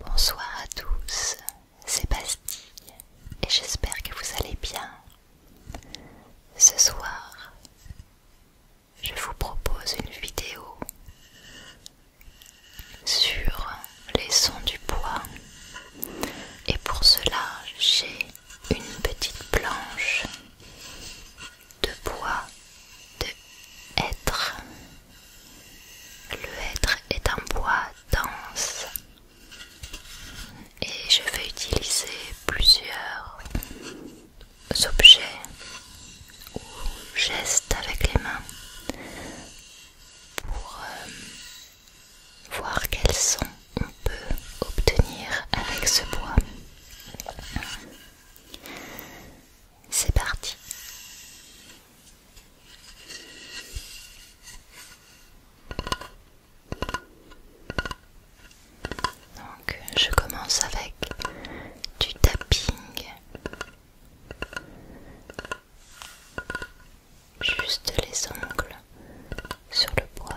Bonsoir à tous, c'est Bastille et j'espère que vous allez bien. Ce soir, je vous propose une vidéo sur les sons du bois et pour cela j'ai une petite planche de bois, de être. Le être est un bois dense et je vais utiliser plusieurs objets ou gestes avec les mains pour euh, voir quels sons on peut obtenir avec ce bois. C'est parti. Donc je commence avec du tapping. Juste les ongles sur le bois.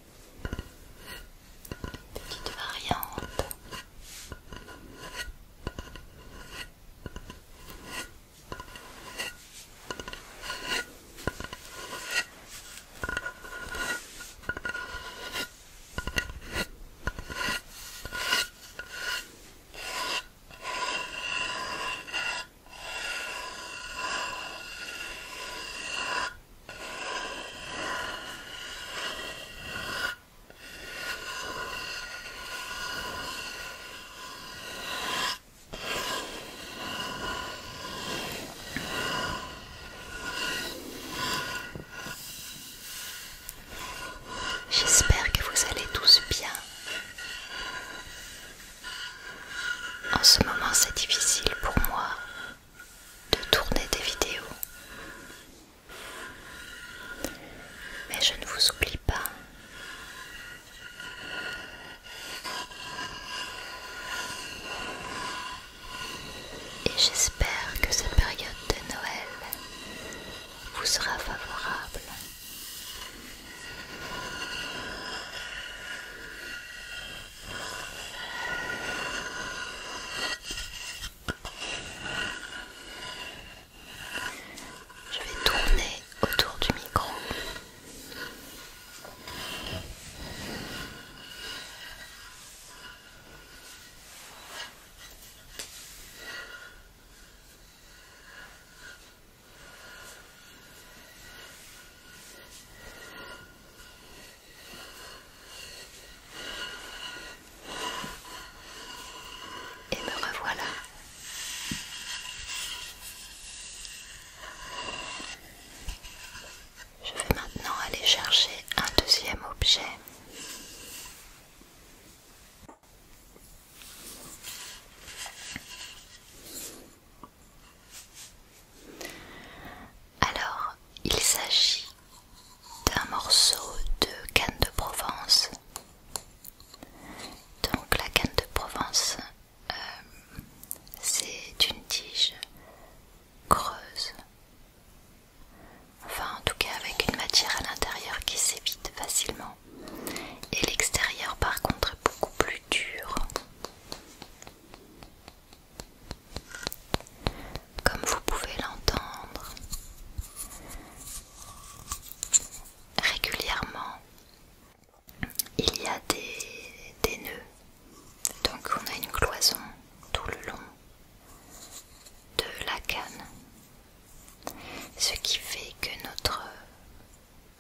une petite variante J'espère que vous allez tous bien. En ce moment, c'est difficile pour moi de tourner des vidéos mais je ne vous oublie pas. Et j'espère que cette période de Noël vous sera favorable. Je vais tourner autour du micro. Et me revoilà. Je vais maintenant aller chercher un deuxième objet. Alors, il s'agit d'un morceau de canne de Provence. Donc la canne de Provence, euh, c'est une tige creuse. Enfin en tout cas avec une matière à l'intérieur qui s'évite facilement. Et l'extérieur par contre est beaucoup plus dur. Comme vous pouvez l'entendre, régulièrement, il y a des, nœuds. Donc on a une cloison tout le long de la canne. Ce qui fait que notre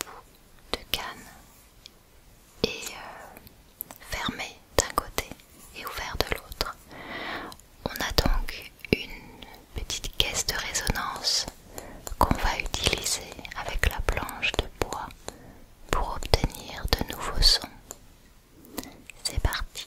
bout de canne est euh, fermé d'un côté et ouvert de l'autre. On a donc une petite caisse de résonance qu'on va utiliser avec la planche de bois pour obtenir de nouveaux sons. C'est parti.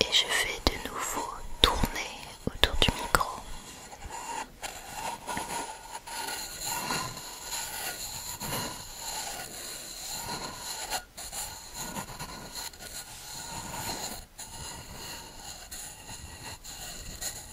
Et je fais de nouveau tourner autour du micro.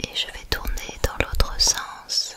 Et je vais tourner dans l'autre sens.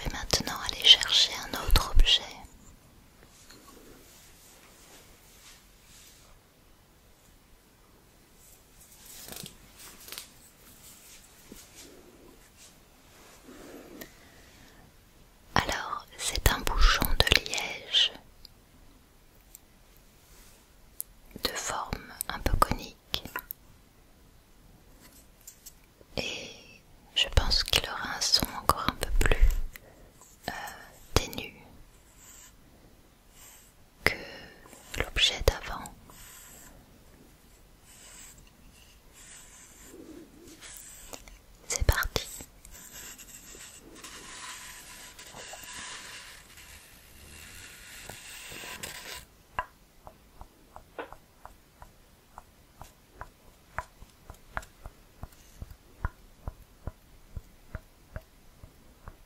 Je vais maintenant aller chercher un autre objet. Alors, c'est un bouchon de liège de forme un peu conique et je pense qu'il aura un son encore un peu plus euh, ténu que l'objet d'avant. C'est parti.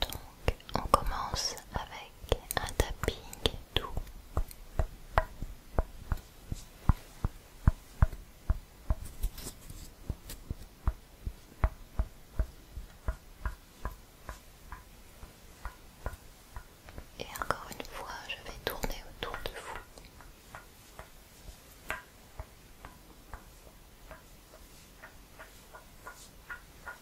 Donc on commence avec un tapping doux. Et encore une fois, je vais tourner autour de vous.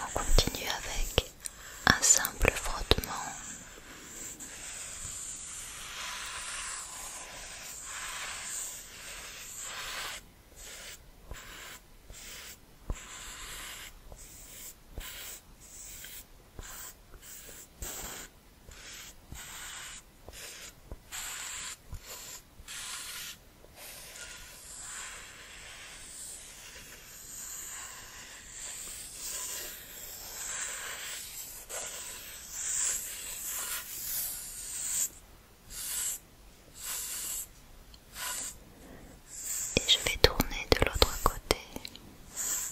On continue avec un simple frottement. Et je vais tourner de l'autre côté.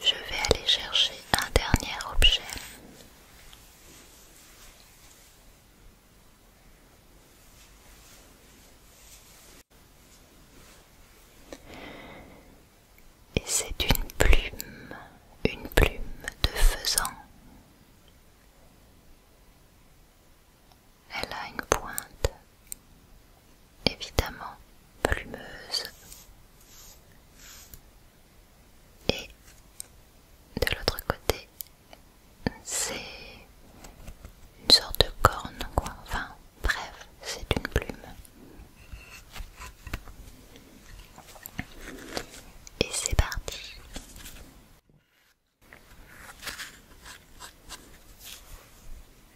Je vais aller chercher un dernier objet. Et c'est une plume, une plume de faisan. Elle a une pointe évidemment plumeuse et de l'autre côté c'est une sorte de corne quoi enfin bref c'est une plume et c'est parti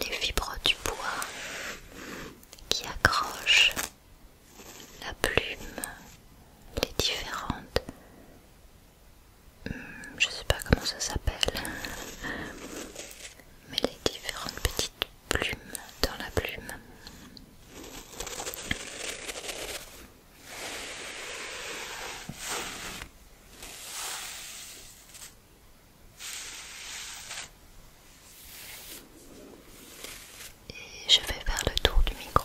les fibres du bois qui accrochent la plume, les différentes... Hmm, je sais pas comment ça s'appelle, mais les différentes petites plumes dans la plume. Et je vais faire le tour du micro.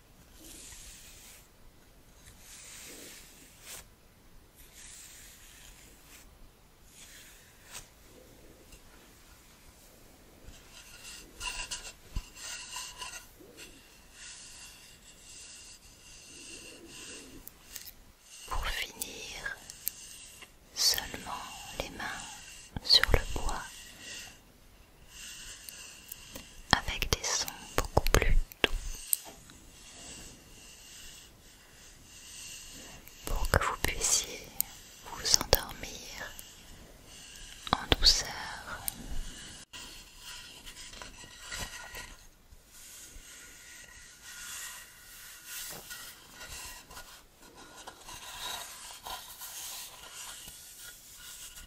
Pour finir, seulement les mains sur le bois avec des sons beaucoup plus doux pour que vous puissiez vous endormir en douceur.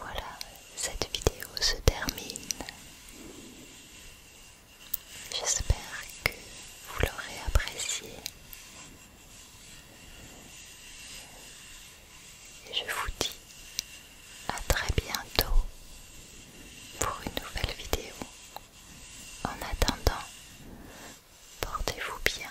Voilà, cette vidéo se termine. J'espère que vous l'aurez appréciée et je vous dis à très bientôt pour une nouvelle vidéo. En attendant, portez-vous bien.